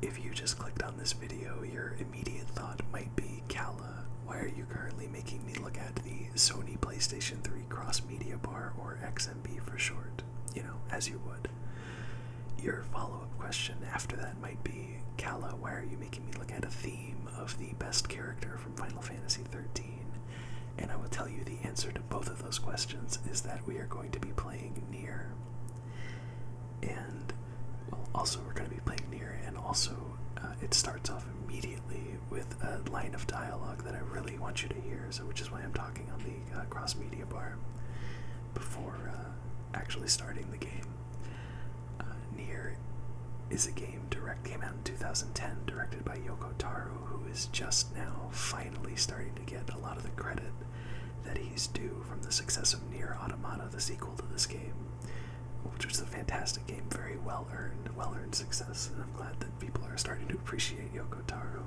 If you just clicked on this video, your immediate thought might be, Kala, why are you currently making me look at the Sony PlayStation 3 Cross Media Bar, or XMB for short? You know, as you would. Your follow-up question after that might be, Kala, why are you making me look at a theme of the best character from Final Fantasy XIII? And I will tell you the answer to both of those questions is that we are going to be playing near. And also, we're going to be playing near, and also, uh, it starts off immediately with a line of dialogue that I really want you to hear, so which is why I'm talking on the uh, cross media bar before uh, actually starting the game. near is a game direct came out in 2010, directed by Yoko Taro, who is just now finally starting to get a lot of the credit that he's due from the success of Nier Automata, the sequel to this game, which was a fantastic game, very well earned, well earned success, and I'm glad that people are starting to appreciate Yoko Taro.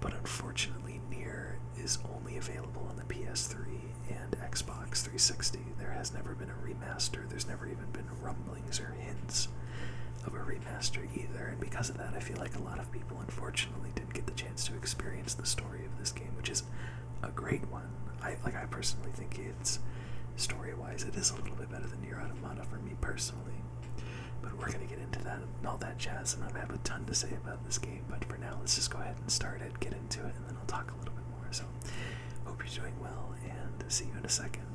But unfortunately, Nier is only available on the PS3 and Xbox 360. There has never been a remaster, there's never even been rumblings or hints of a remaster either, and because of that, I feel like a lot of people unfortunately get the chance to experience the story of this game, which is a great one. I like. I personally think it's story-wise, it is a little bit better than Nier Automata for me personally. But we're gonna get into that and all that jazz, and I have a ton to say about this game. But for now, let's just go ahead and start it, get into it, and then I'll talk a little bit more. So, hope you're doing well, and see you in a second.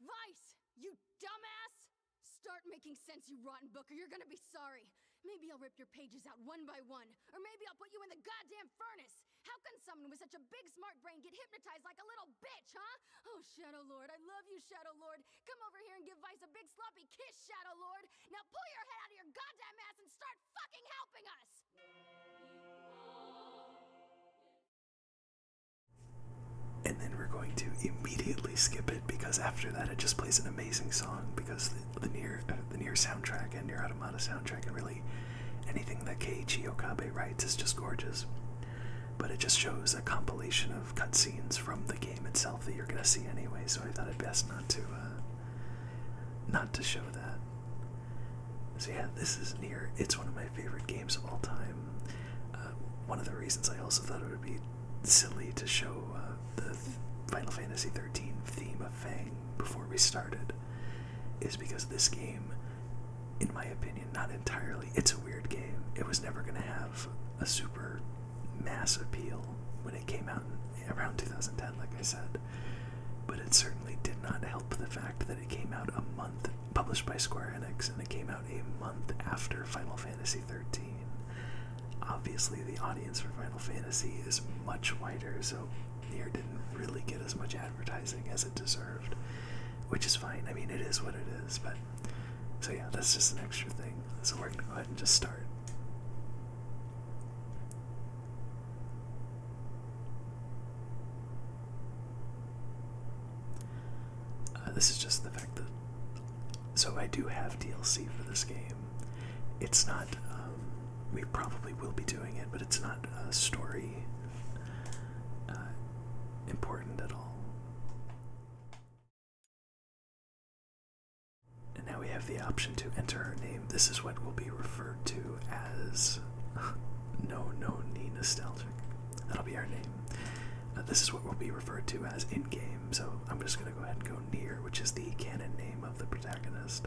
Vice! You dumbass! Start making sense, you rotten book, or you're gonna be sorry. Maybe I'll rip your pages out one by one or maybe I'll put you in the goddamn furnace. How can someone with such a big smart brain get hypnotized like a little bitch, huh? Oh, Shadow Lord, I love you, Shadow Lord. Come over here and give Vice a big sloppy kiss, Shadow Lord. Now pull your head out of your goddamn ass and start fucking helping us! And then we're going to immediately skip it because after that it just plays an amazing song because the near uh, the near soundtrack and near automata soundtrack and really anything that Keiichi Okabe writes is just gorgeous. But it just shows a compilation of cutscenes from the game itself that you're gonna see anyway, so I thought it best not to uh, not to show that. So yeah, this is near. It's one of my favorite games of all time. Uh, one of the reasons I also thought it would be silly to show the Final Fantasy XIII theme Fang before we started is because this game, in my opinion, not entirely, it's a weird game. It was never going to have a super mass appeal when it came out around 2010, like I said, but it certainly did not help the fact that it came out a month, published by Square Enix, and it came out a month after Final Fantasy 13. Obviously, the audience for Final Fantasy is much wider, so Nier didn't really get as much advertising as it deserved, which is fine. I mean, it is what it is, but so yeah, that's just an extra thing. So we're gonna go ahead and just start. Uh, this is just the fact that so I do have DLC for this game. It's not. Um, we probably will be doing it, but it's not a story uh, important at all. And now we have the option to enter her name. This is what will be referred to as No No Nee Nostalgic. That'll be our name. Uh, this is what will be referred to as in game so I'm just gonna go ahead and go near, which is the canon name of the protagonist.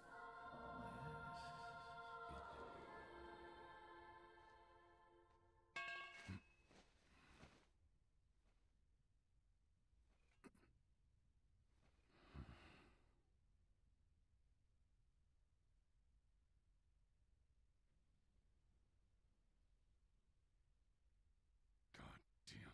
Goddamn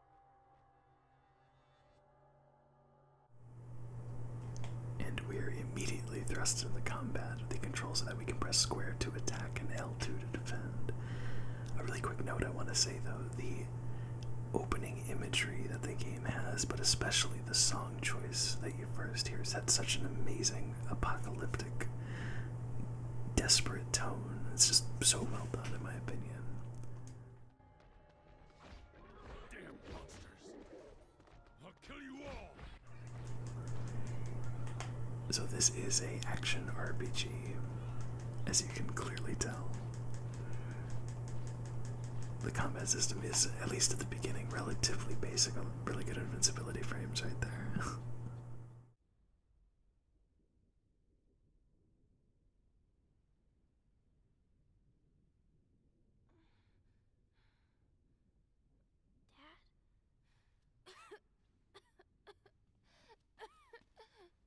And we're immediately thrust into the combat with the controls so that we can press square to attack and L2 to defend. A really quick note I want to say though, the opening imagery that the game has, but especially the song choice that you first hear, sets such an amazing apocalyptic desperate tone. It's just so well done, in my opinion. So this is a action RPG, as you can clearly tell. The combat system is, at least at the beginning, relatively basic. Really good invincibility frames right there.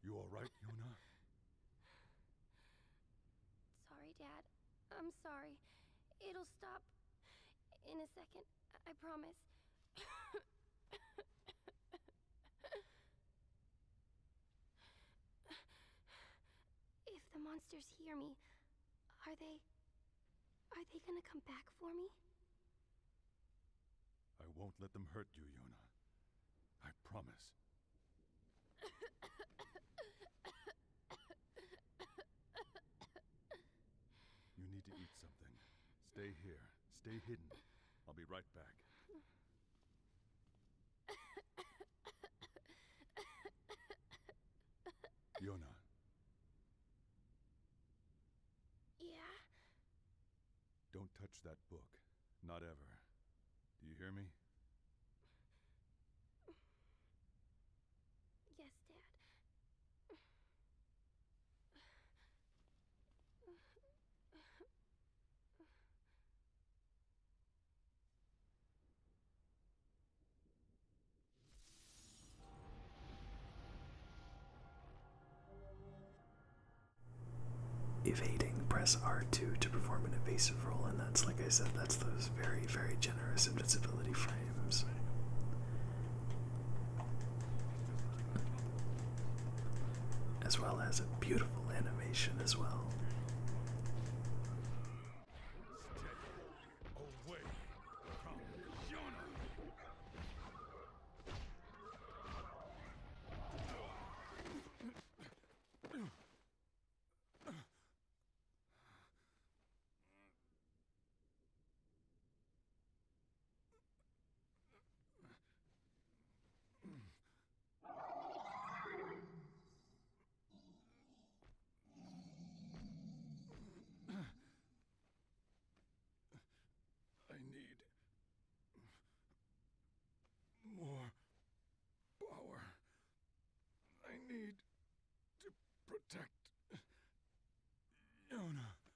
You are all right, Yuna? Sorry, Dad. I'm sorry. It'll stop in a second. I promise if the monsters hear me, are they... Are they gonna come back for me? I won't let them hurt you, Yuna. I promise. you need to eat something. Stay here. Stay hidden. I'll be right back. Yona. Yeah? Don't touch that book. Not ever. Do you hear me? Yes, Dad. Evading, press R2 to perform an evasive roll, and that's like I said, that's those very, very generous invincibility frames as well as a beautiful animation as well. I need more power. I need to protect Yona.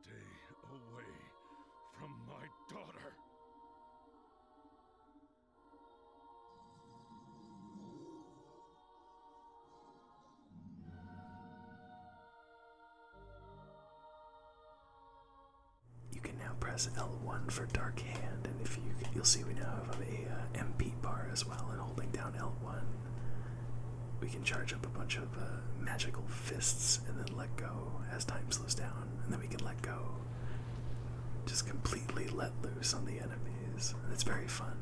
Stay away from my daughter! You can now press L1 for Dark Hand, and if you you'll see we now have a uh, MP bar as well. And holding down L1, we can charge up a bunch of uh, magical fists, and then let go as time slows down, and then we can let go, just completely let loose on the enemies. And it's very fun.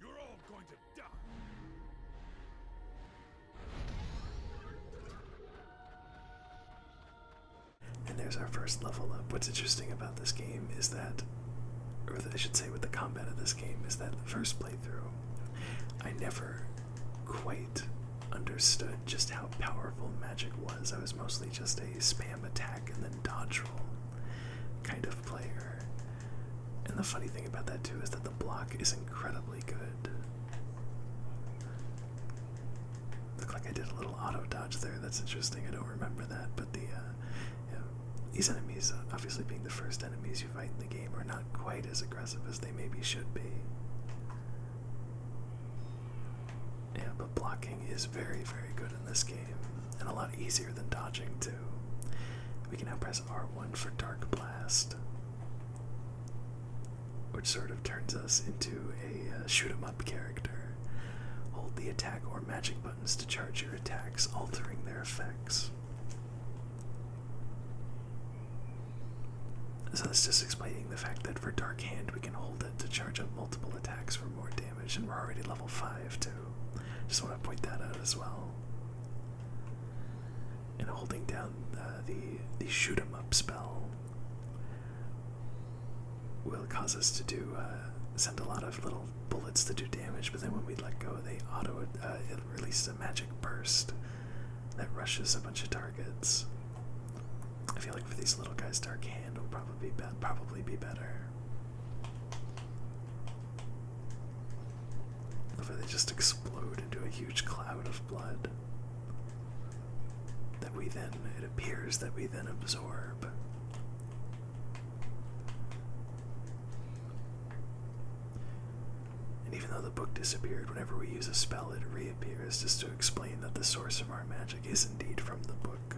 You're all going to die! And there's our first level up. What's interesting about this game is that, or I should say, with the combat of this game, is that the first playthrough, I never quite understood just how powerful Magic was. I was mostly just a spam attack and then dodge roll kind of player. And the funny thing about that too is that the block is incredibly good. Look like I did a little auto dodge there. That's interesting. I don't remember that, but the uh, these enemies, obviously being the first enemies, fight in the game are not quite as aggressive as they maybe should be. Yeah, but blocking is very, very good in this game, and a lot easier than dodging, too. We can now press R1 for Dark Blast, which sort of turns us into a uh, shoot 'em up character. Hold the attack or magic buttons to charge your attacks, altering their effects. So that's just explaining the fact that for Dark Hand we can hold it to charge up multiple attacks for more damage, and we're already level 5 too. Just want to point that out as well. And holding down uh, the, the shoot 'em up spell will cause us to do uh, send a lot of little bullets to do damage, but then when we let go, they auto uh, it releases a magic burst, that rushes a bunch of targets. I feel like for these little guys, Dark Hand will probably be, probably be better. If they just explode into a huge cloud of blood, that we then, it appears that we then absorb. And even though the book disappeared, whenever we use a spell, it reappears just to explain that the source of our magic is indeed from the book.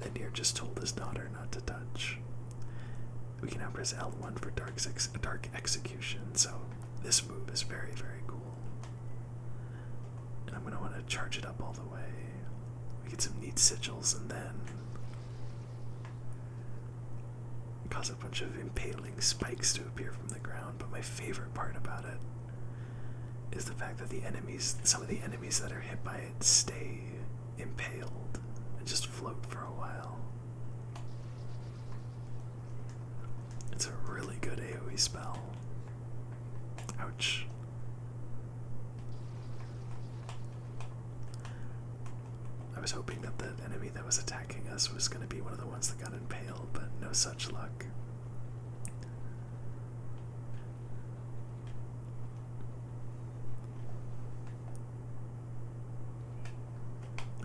Then Deer just told his daughter not to touch. We can now press L1 for dark, execution, so this move is very, very cool. I'm going to want to charge it up all the way. We get some neat sigils, and then Cause a bunch of impaling spikes to appear from the ground, but my favorite part about it is the fact that the enemies, some of the enemies that are hit by it, stay impaled and just float for a while. It's a really good AoE spell. Ouch. I was hoping that the enemy that was attacking us was going to be one of the ones that got impaled, but no such luck.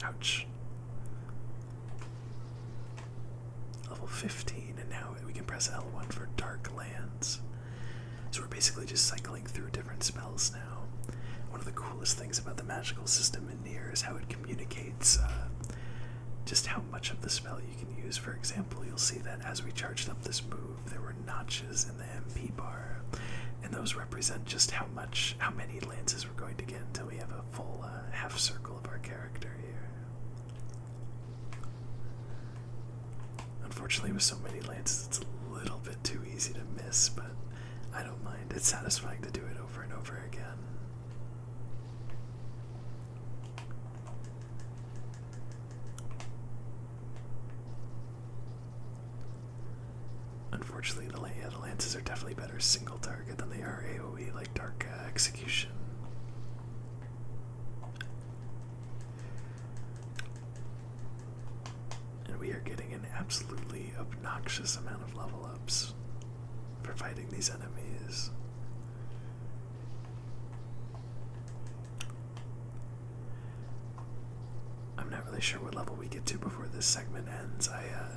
Ouch. Level 15, and now we can press L1 for Dark Lands. So we're basically just cycling through different different spells now. One of the coolest things about the magical system in Nier is how it communicates uh, just how much of the spell you can use. For example, you'll see that as we charged up this move, there were notches in the MP bar, and those represent just how much, how many lances we're going to get until we have a full uh, half circle of our character here. Unfortunately, with so many lances, it's a little bit too easy to miss, but I don't mind. It's satisfying to do it over and over again. Unfortunately, the, the lances are definitely better single target than they are AoE, like Dark Execution. And we are getting an absolutely obnoxious amount of level ups for fighting these enemies. I'm not really sure what level we get to before this segment ends. I uh,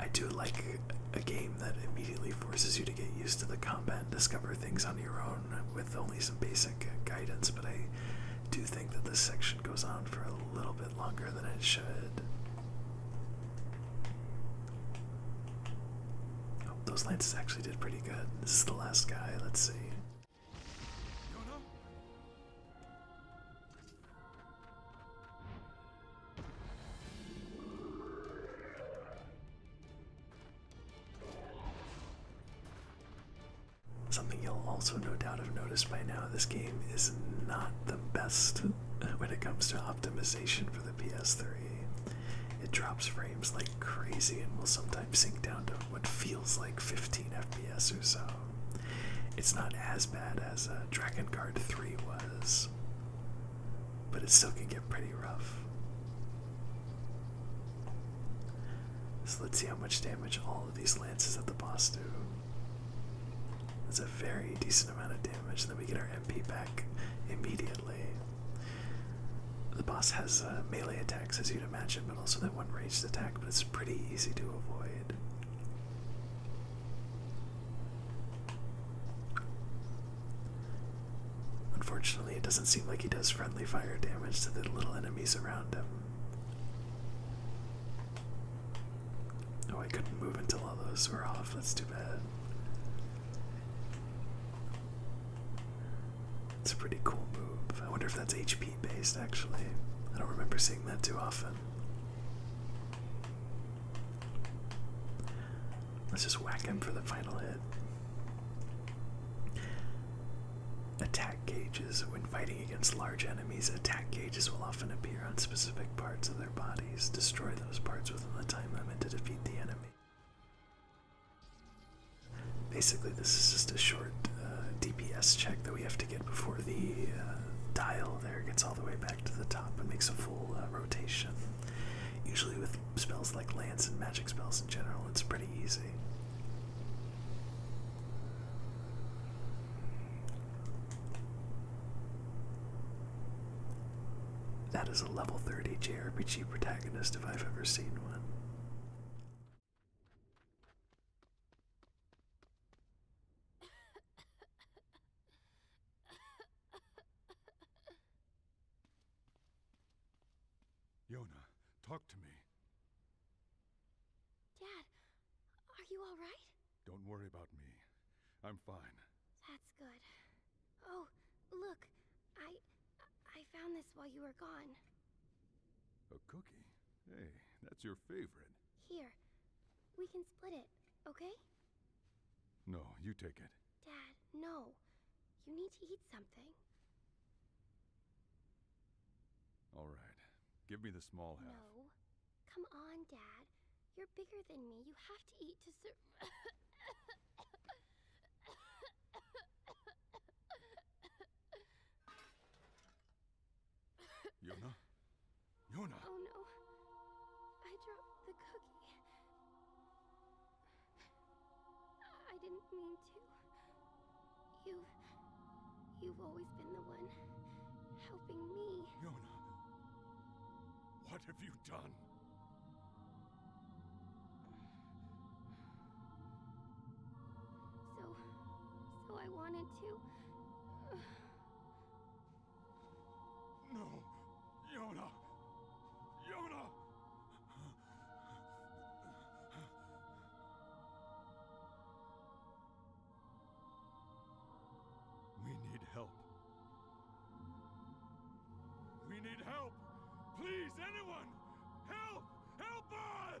I do like a game that immediately forces you to get used to the combat and discover things on your own with only some basic guidance, but I do think that this section goes on for a a little bit longer than it should. Oh, those lances actually did pretty good. This is the last guy. Let's see. Something you'll also no doubt have noticed by now this game is not the best when it comes to optimization for the PS3. It drops frames like crazy and will sometimes sink down to what feels like 15 FPS or so. It's not as bad as uh, Dragon Guard 3 was, but it still can get pretty rough. So let's see how much damage all of these lances at the boss do. That's a very decent amount of damage. and Then we get our MP back immediately. The boss has uh, melee attacks, as you'd imagine, but also that one ranged attack, but it's pretty easy to avoid. Unfortunately, it doesn't seem like he does friendly fire damage to the little enemies around him. Oh, I couldn't move until all those were off. That's too bad. It's a pretty cool move. I wonder if that's HP based actually. I don't remember seeing that too often. Let's just whack him for the final hit. Attack gauges. When fighting against large enemies, attack gauges will often appear on specific parts of their bodies. Destroy those parts within the time limit to defeat the enemy. Basically, this is just a short uh, DPS check that we have to get before the uh, dial there gets all the way back to the top and makes a full uh, rotation. Usually, with spells like lance and magic spells in general, it's pretty easy. That is a level 30 JRPG protagonist if I've ever seen one. Yona, talk to me. Dad, are you all right? Don't worry about me. I'm fine. That's good. Oh, look. I... I found this while you were gone. A cookie? Hey, that's your favorite. Here. We can split it, okay? No, you take it. Dad, no. You need to eat something. All right. Give me the small half. No. Come on, Dad. You're bigger than me. You have to eat to survive. Yona? Yona! Oh no. I dropped the cookie. I didn't mean to. You... You've always been the one helping me. Yona, what have you done? So... so I wanted to... No! Yona! Yona! We need help. We need help! Please, anyone! Help! Help us!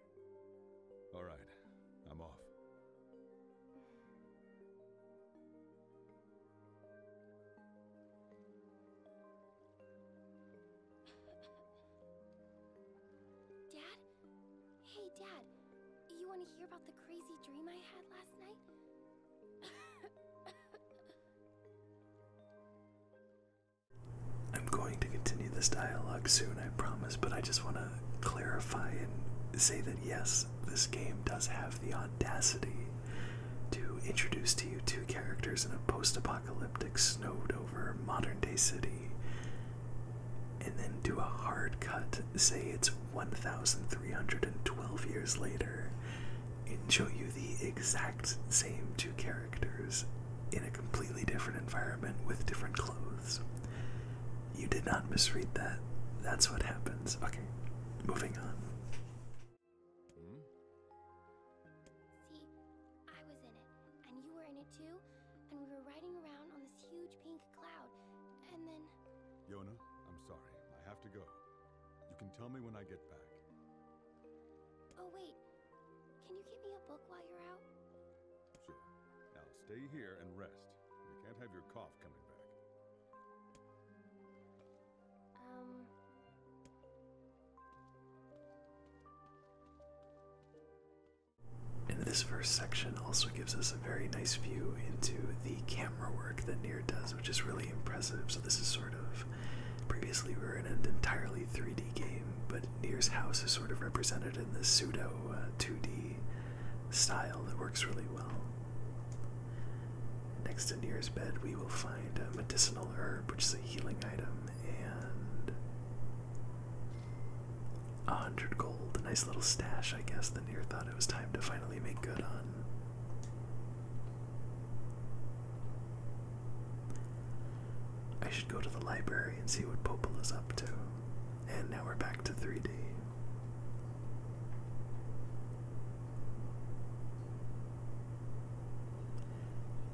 All right, I'm off. Dad? Hey, Dad. You want to hear about the crazy dream I had last night? I'm going to continue this dialogue soon, I promise, but I just want to clarify and say that yes, this game does have the audacity to introduce to you two characters in a post apocalyptic, snowed over modern day city, and then do a hard cut, say it's 1,312 years later, and show you the exact same two characters in a completely different environment with different clothes. You did not misread that. That's what happens. Okay, moving on. See, I was in it, and you were in it too, and we were riding around on this huge pink cloud, and then. Yona, I'm sorry. I have to go. You can tell me when I get back. Oh, wait. Can you get me a book while you're out? Now stay here and rest. We can't have your cough coming back. And um. this first section also gives us a very nice view into the camera work that Nier does, which is really impressive. So this is sort of previously we were in an entirely 3D game, but Near's house is sort of represented in the pseudo 2D uh, style that works really well. Next to Near's bed, we will find a medicinal herb, which is a healing item, and a hundred gold. nice little stash, I guess. The Near thought it was time to finally make good on. I should go to the library and see what Popol is up to. And now we're back to 3D.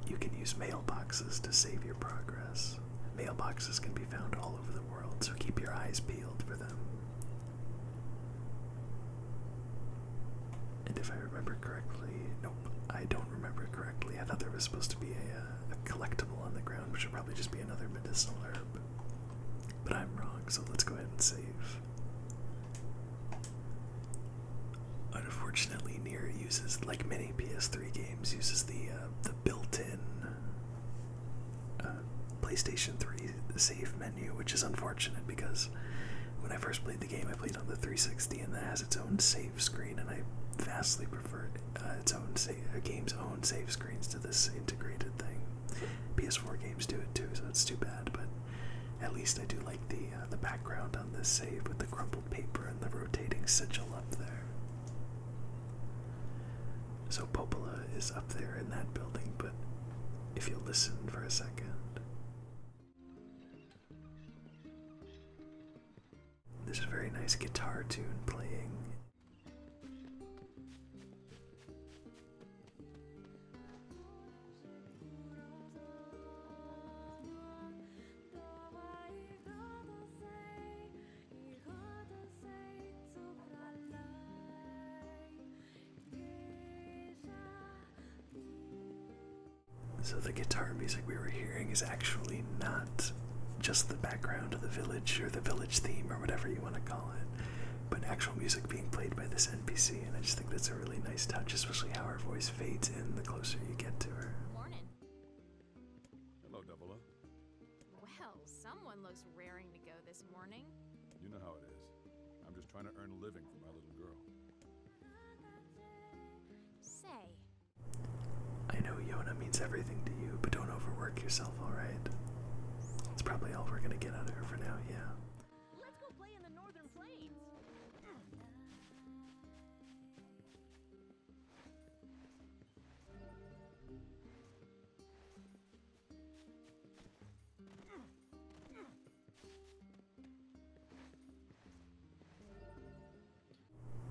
You can use mailboxes to save your progress. Mailboxes can be found all over the world, so keep your eyes peeled for them. And if I remember correctly, nope, I don't remember correctly. I thought there was supposed to be a, uh, a collectible on the ground which would probably just be another medicinal herb. But I'm wrong, so let's go ahead and save. Unfortunately, Nier uses, like many PS3 games, uses the uh, the built-in uh, PlayStation 3 save menu, which is unfortunate because when I first played the game, I played on the 360, and that has its own save screen, and I vastly prefer uh, its own game's own save screens to this integrated thing. PS4 games do it too, so it's too bad. But at least I do like the uh, the background on this save with the crumpled paper and the rotating sigil up there. So Popola is up there in that building, but if you listen for a second. There's a very nice guitar tune playing. So the guitar music we were hearing is actually not just the background of the village or the village theme or whatever you want to call it, but actual music being played by this NPC. And I just think that's a really nice touch, especially how her voice fades in the closer you get to her. Morning. Hello, Double Well, someone looks raring to go this morning. You know how it is. I'm just trying to earn a living for my little girl. Say, I know Yona means everything to you, but don't overwork yourself, alright? That's probably all we're gonna get out of her for now, yeah. Let's go play in the northern plains.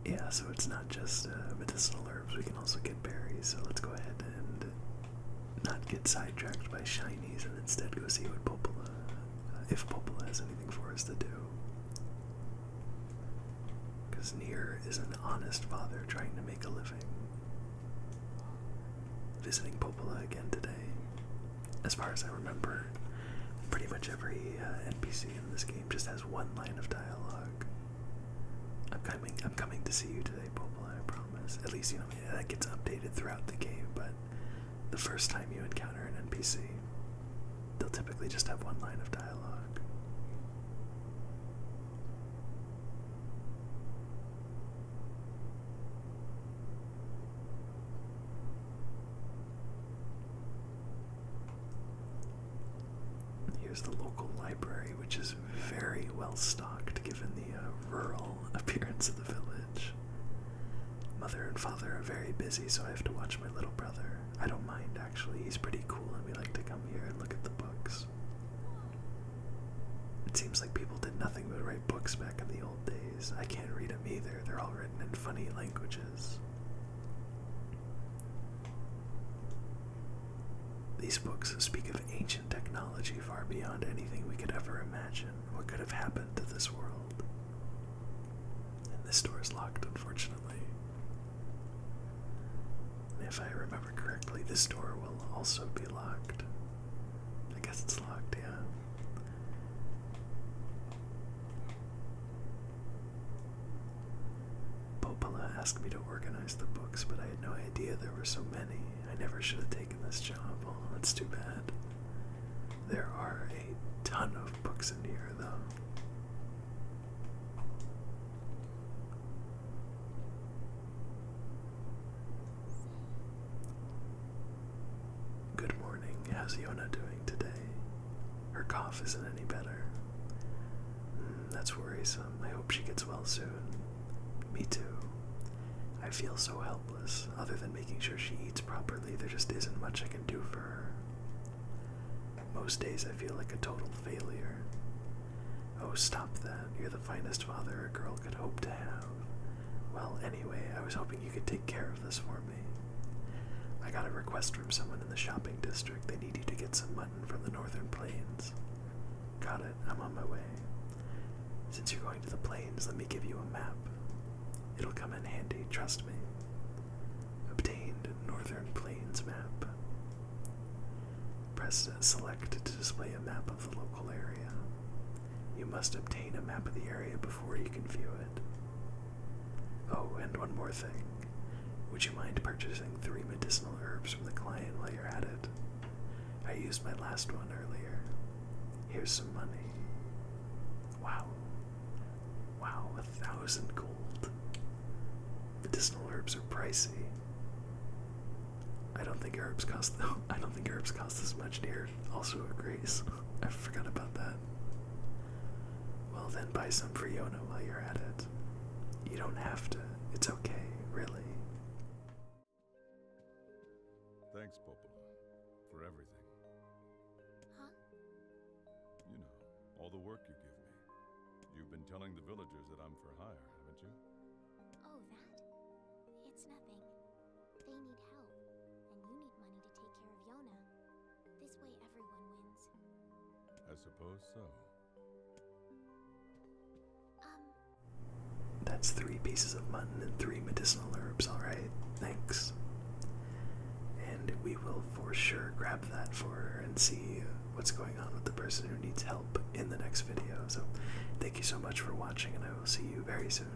Yeah, so it's not just uh, medicinal herbs, we can also get berries, so let's go ahead and not get sidetracked by shinies and instead go see what Popola, uh, if Popola has anything for us to do. Because Nier is an honest father trying to make a living. Visiting Popola again today. As far as I remember, pretty much every uh, NPC in This game just has one line of dialogue. I'm coming. I'm coming to see you today, Popola. I promise. At least you know that gets updated throughout the game. But the first time you encounter an NPC, they'll typically just have one line of dialogue. Here's the local library, which is very well stocked given the uh, rural appearance of the village. Mother and father are very busy, so I have to watch my little brother. I don't mind actually, he's pretty cool, and we like to come here and look at the books. It seems like people did nothing but write books back in the old days. I can't read them either, they're all written in funny languages. These books speak of ancient technology far beyond anything we could ever imagine. What could have happened to this world? And this door is locked, unfortunately. if I remember correctly, this door will also be locked. I guess it's locked, yeah. Popola asked me to organize the books, but I had no idea there were so many. I never should have taken this job. Oh, that's too bad. There are a ton of books in here, though. Good morning. How's Yona doing? today? Her cough isn't any better. Mm, that's worrisome. I hope she gets well soon. Me too. I feel so helpless. Other than making sure she eats properly, there just isn't much I can do for her. Most days I feel like a total failure. Oh, stop that. You're the finest father a girl could hope to have. Well, anyway, I was hoping you could take care of this for me. I got a request from someone in the shopping district. They need you to get some mutton from the northern plains. Got it. I'm on my way. Since you're going to the plains, let me give you a map. It'll come in handy, trust me. Obtained Northern Plains map. Press select to display a map of the local area. You must obtain a map of the area before you can view it. Oh, and one more thing. Would you mind purchasing three medicinal herbs from the client while you're at it? I used my last one earlier. Here's some money. Wow. Wow, a thousand gold. Medicinal herbs are pricey. I don't think herbs cost though I don't think herbs cost as much dear. also a grace. I forgot about that. Well, then buy some for Yona while you're at it. You don't have to. It's okay, really. Thanks, Popola, for everything. Huh? You know, all the work you give me. You've been telling the villagers that I'm for hire, haven't you? Oh, that? It's nothing. They need help, and you need money to take care of Yona. This way everyone wins. I suppose so. Um. That's three pieces of mutton and three medicinal herbs, alright. Thanks. And we will for sure grab that for and see what's going on with the person who needs help in the next video. So thank you so much for watching and I will see you very soon.